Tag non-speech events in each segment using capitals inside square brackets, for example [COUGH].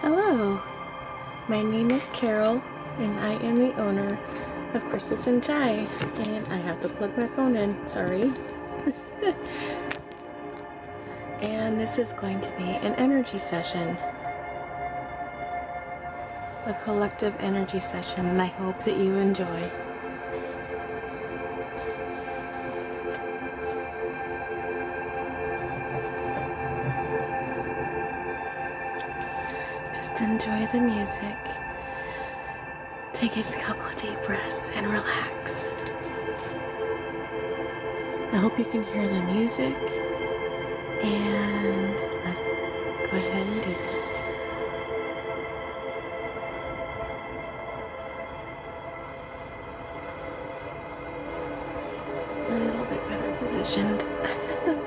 Hello, my name is Carol and I am the owner of Crystals and Chai and I have to plug my phone in, sorry. [LAUGHS] and this is going to be an energy session. A collective energy session and I hope that you enjoy. Just enjoy the music. Take a couple of deep breaths and relax. I hope you can hear the music. And let's go ahead and do this a little bit better positioned. [LAUGHS]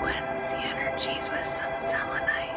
Cleanse the energies with some selenite.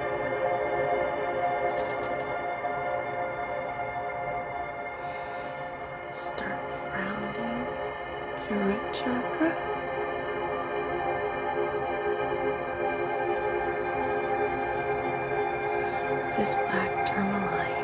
Start rounding your root chakra. This is black tourmaline.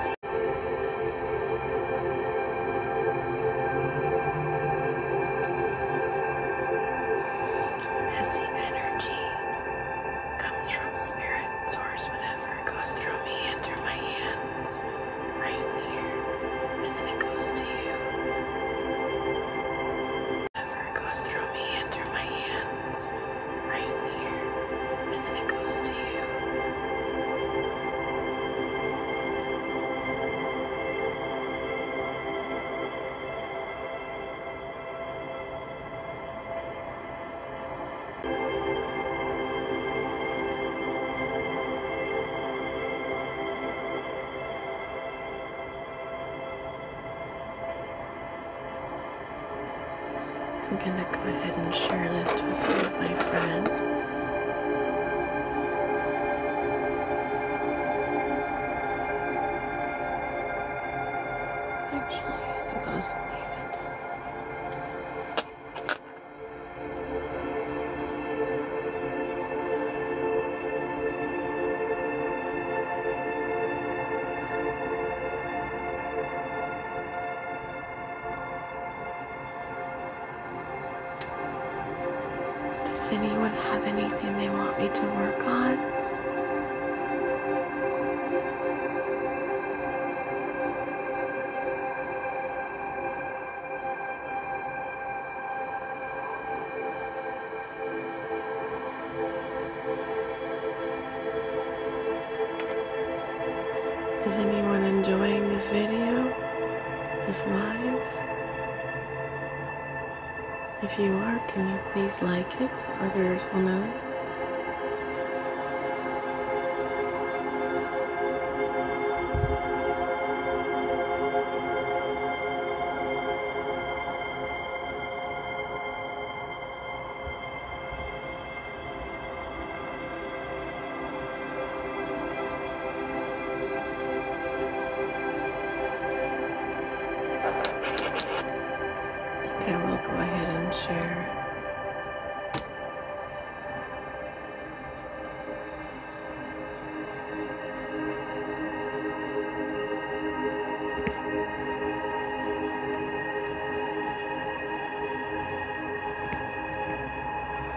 As Messy energy comes from spirit, source, whatever goes through me and my hands right here, and then it goes to you. Whatever goes through me and my hands right here, and then it goes to you. I'm gonna go ahead and share this with you, my friend thoughts. Actually, I think I'll just leave it. Does anyone have anything they want me to work on? Is anyone enjoying this video? This live? If you are, can you please like it so others will know? I will go ahead and share.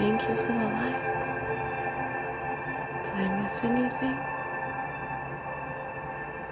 Thank you for the likes. Did I miss anything?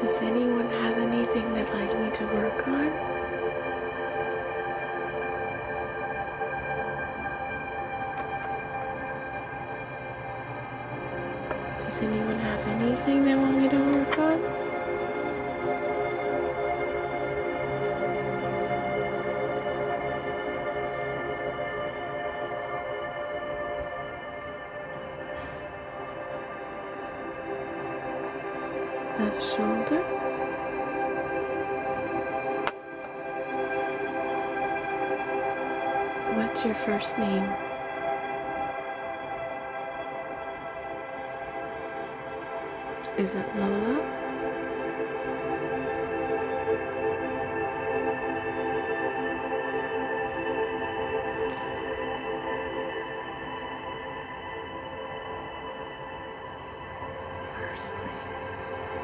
Does anyone have anything they'd like me to work on? Does anyone have anything they want me to work on? left shoulder. What's your first name? Is it Lola? Personally.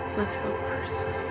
So let's go personally.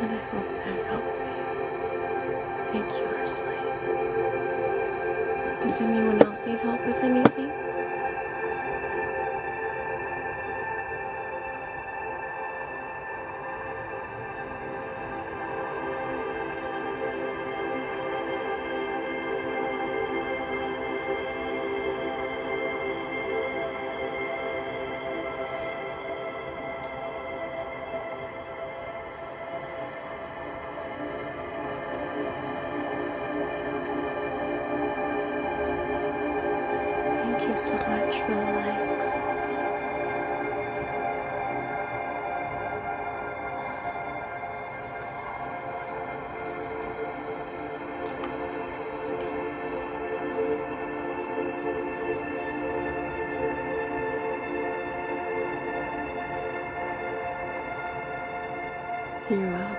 And I hope that helps you. Thank you, Ursula. Does anyone else need help with anything? Thank you so much for the likes. You're welcome.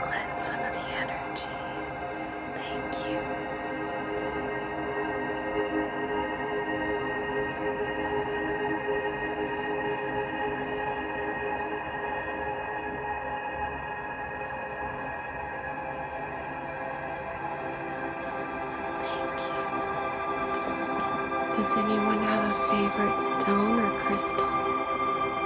Cleanse some of the energy. Thank you. Thank you. Does anyone have a favorite stone or crystal?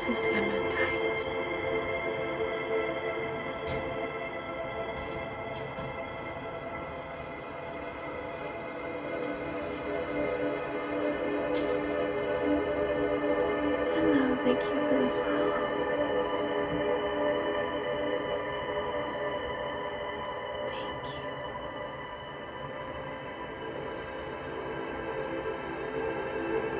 Just him and tight. Hello, thank you for this call. Thank you.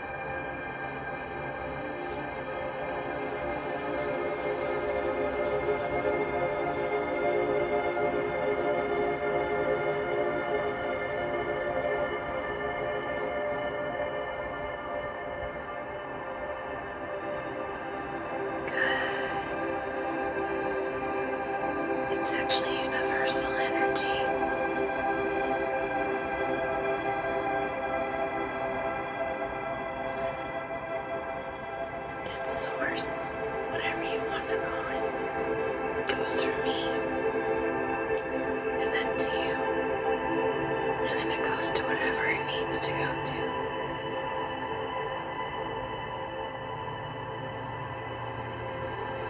Good. It's actually universal energy. Its source, whatever you want to call it, goes through me and then to you, and then it goes to whatever it needs to go to.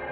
African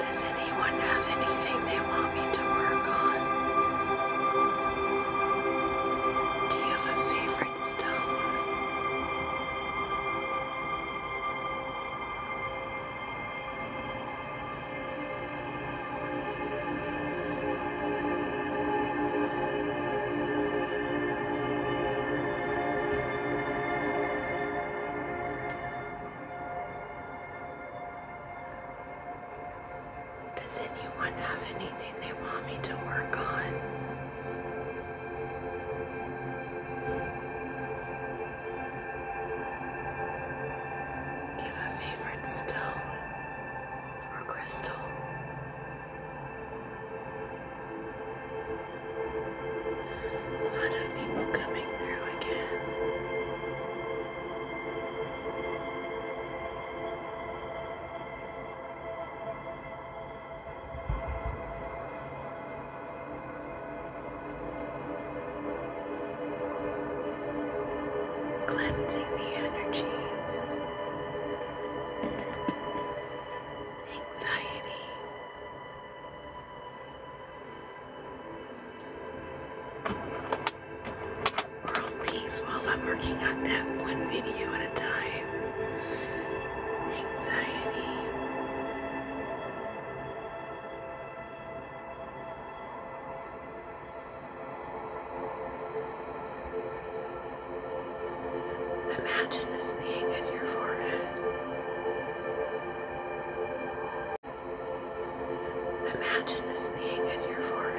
Does anyone have anything they want me to work on? Do you have a favorite stone? Does anyone have anything they want me to work on? Give a favorite stone or crystal. A lot of people coming through again cleansing the energies, anxiety. World peace while I'm working on that one video at a time. Anxiety. Imagine this being in your forehead. Imagine this being in your forehead.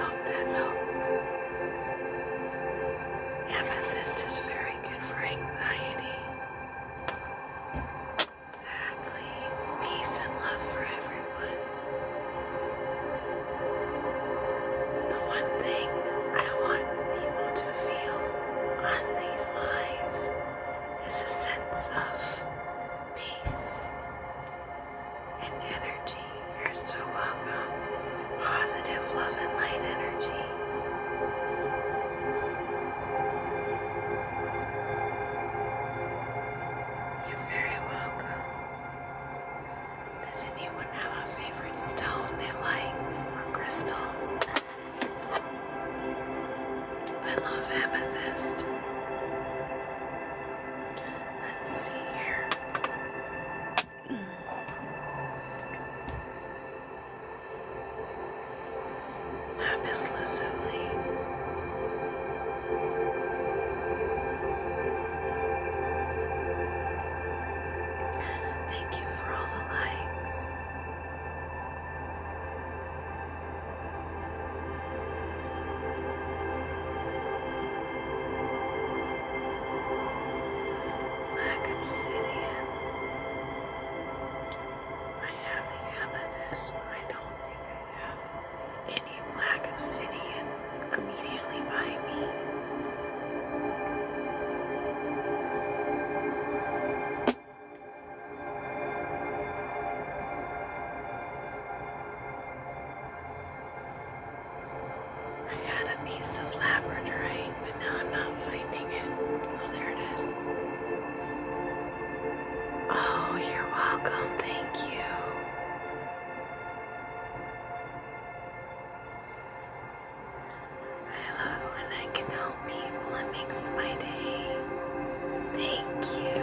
Out that out. Amethyst is very good for anxiety. Exactly. Peace and love for everyone. The one thing I want people to feel on these lives is a sense of peace and energy. You're so welcome. Positive love and light energy. You're very welcome. Does anyone have a favorite stone they like or crystal? I love amethyst. Let's see here. Lapis lazuli. Thank you for all the likes. Black obsidian. I have the amethyst, but I don't think I have any black obsidian immediately by me. I had a piece of labradorite, but now I'm not finding it. Oh, there it is. Oh, you're welcome. Thank you. I love when I can help people. It makes my day. Thank you.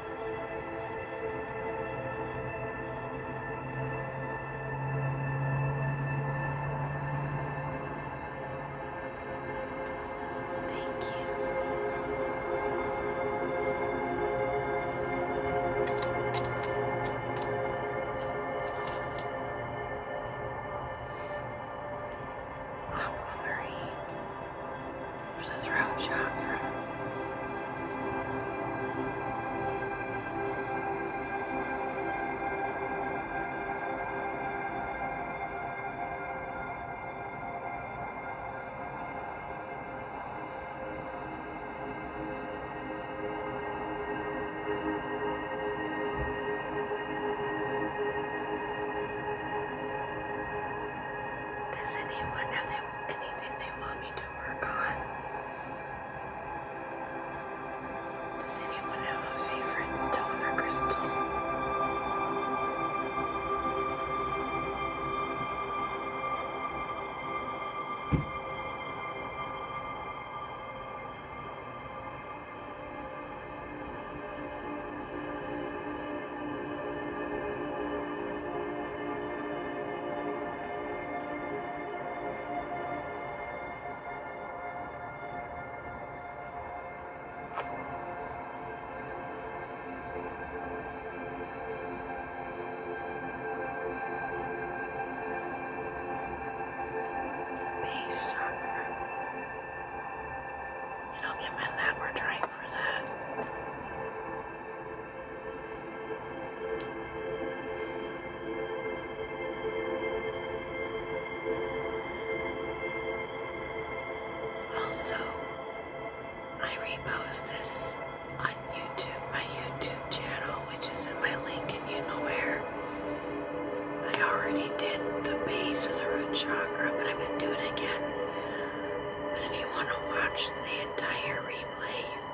Thank you. Aquamarine for the throat chakra. Does anyone have anything they want me to does anyone have a favorite stone or crystal? Base sucker. You don't get my lap or drink for that. Also, I repost this on YouTube, my YouTube channel, which is in my link and you know where. I already did the base of the root chakra, but I'm gonna do it again. But if you want to watch the entire replay,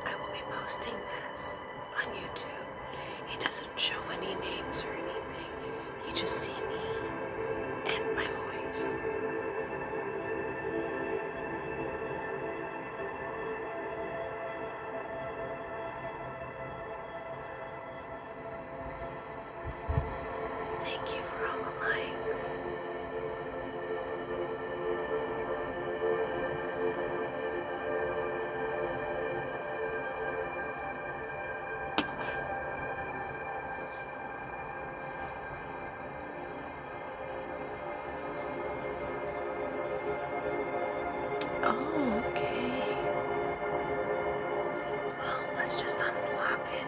I will be posting this on YouTube. It doesn't show any names or anything. You just see me and my voice. Thank you for all the likes. Oh, okay. Well, let's just unblock it.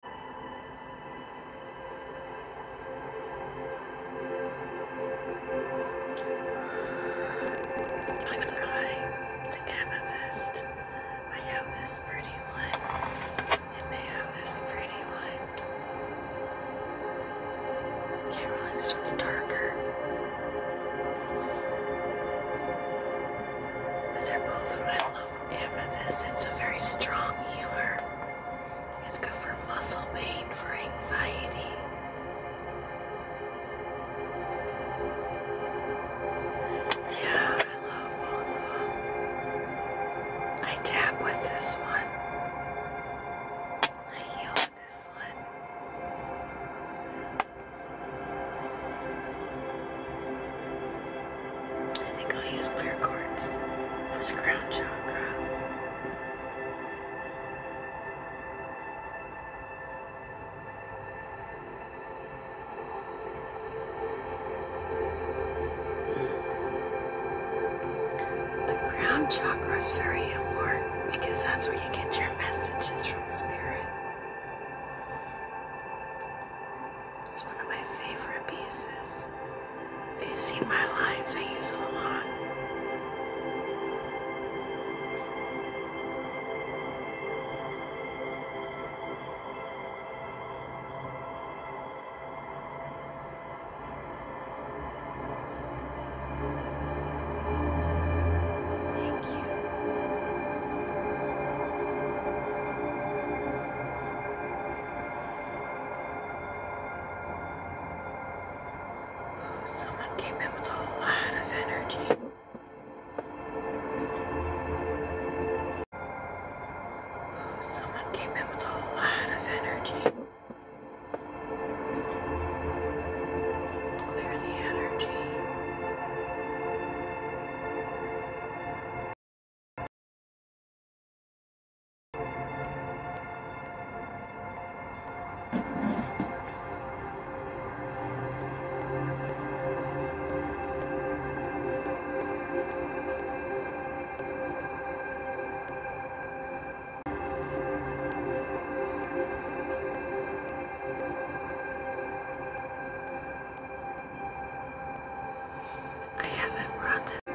I'm going the amethyst. I have this pretty one, and they have this pretty one. Can't really, this one's darker. But they're both what Amethyst, it's a very strong healer. It's good for muscle pain, for anxiety. Yeah, I love both of them. I tap with this one. I heal with this one. I think I'll use clear quartz for the crown chakra. The crown chakra is very important because that's where you get your messages from spirit. It's one of my favorite pieces. If you've seen my lives, I use it a lot. Thank you. Ooh, someone came in with a lot of energy. Oh, someone came in with a lot of energy. Clear the energy. I haven't run I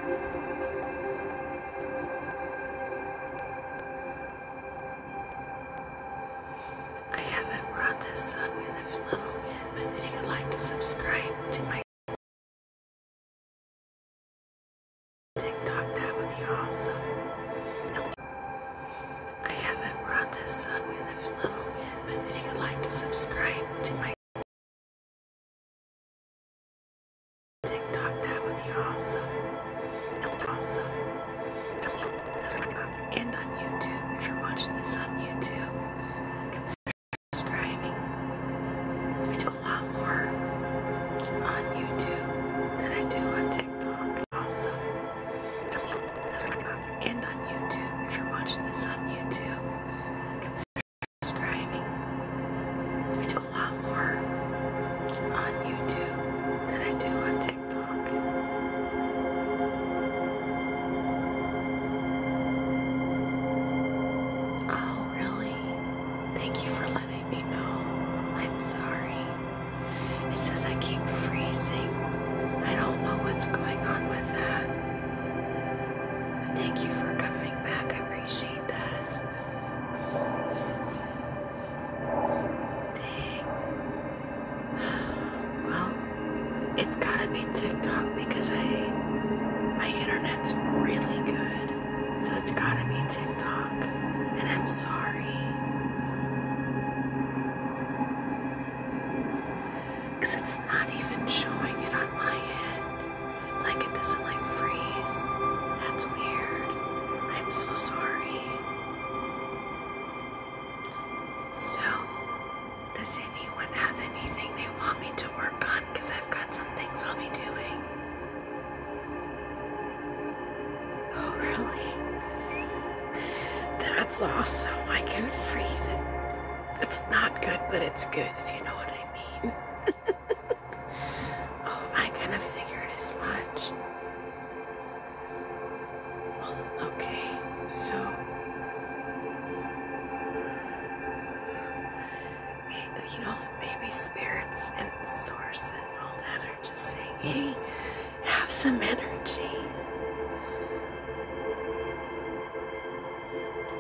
haven't brought this up in a little bit, but if you'd like to subscribe to my TikTok, that would be awesome. I haven't brought this up in a little bit, but if you'd like to subscribe to my TikTok, that would be awesome. Awesome. And on YouTube, if you're watching this on YouTube, consider subscribing. I do a lot more on YouTube than I do on TikTok. Awesome. And on YouTube, if you're watching this on YouTube, subscribing. I do a lot more on YouTube than I do on TikTok. Oh, really? Thank you for letting me know. I'm sorry. It says I keep freezing. I don't know what's going on with that. Thank you for coming back. I appreciate that. [SIGHS] Well, it's gotta be TikTok because I my internet's really good. So it's gotta be TikTok. And I'm sorry. Because it's not even showing it on my end. Like it doesn't like freeze. That's weird. I'm so sorry. So, does anyone have anything they want me to work on? Because I've got some things I'll be doing. Oh, really? That's awesome. I can freeze it. It's not good, but it's good, if you know what I mean. [LAUGHS] oh, I kind of figured as much. okay, so you know, maybe spirits and source and all that are just saying, hey, have some energy.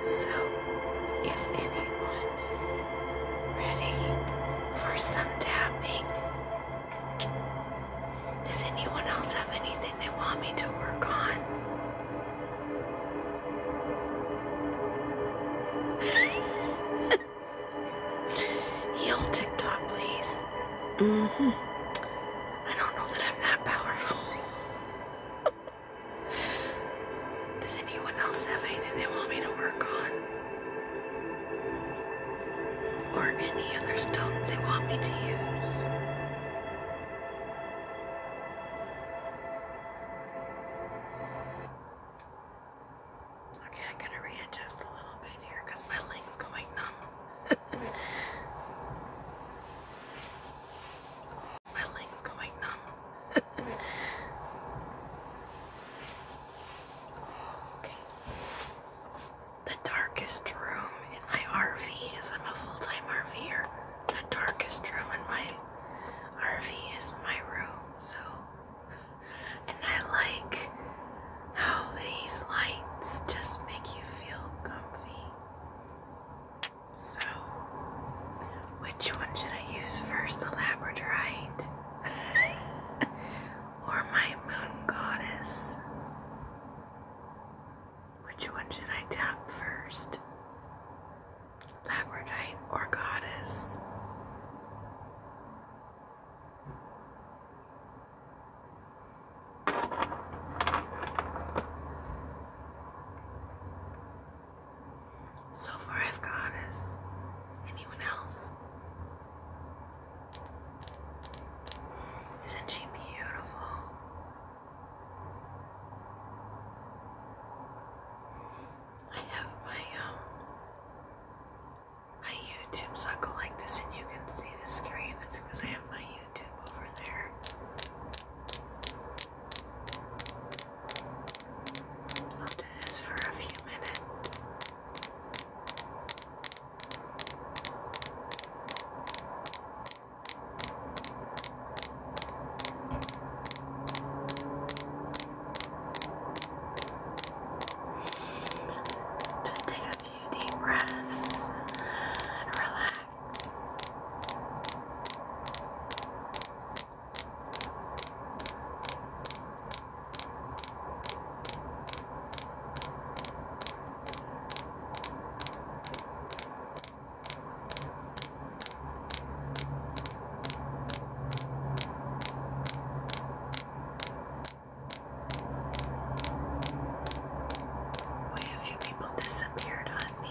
So, is anyone ready for some tapping? Does anyone else have anything they want me to work on? [LAUGHS] Heal TikTok, please. Mm-hmm. I don't know that I'm that powerful. [LAUGHS] Does anyone else have anything they want me to work on? Or any other stones they want me to use? Okay, I gotta readjust a little bit here because my leg's going numb. [LAUGHS] My leg's going numb. [LAUGHS] okay. The darkest room in my RV is I'm a full-time RVer. The darkest room in my RV is my room, so [LAUGHS] and I like how these lights just make you feel comfy. So, which one should I use first, the Labradorite [LAUGHS] or my Moon Goddess? Which one should I tap first, Labradorite or Goddess? So far, I've got us. Anyone else? Isn't she beautiful? I have my um my YouTube sucker like this, and you can see the screen. That's because I have my YouTube over there do this for a few minutes. Just take a few deep breaths and relax. Way a few people disappeared on me.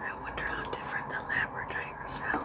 I wonder how different the Labrador sounds.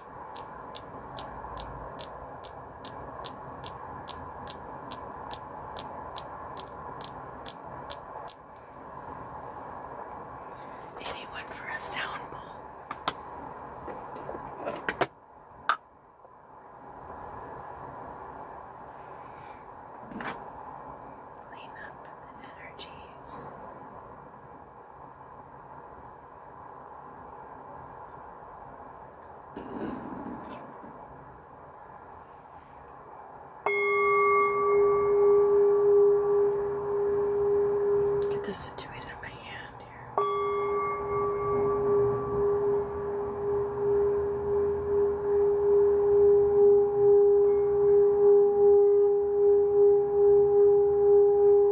Anyone for a sound bowl? Clean up the energies. Get this situated in my hand here.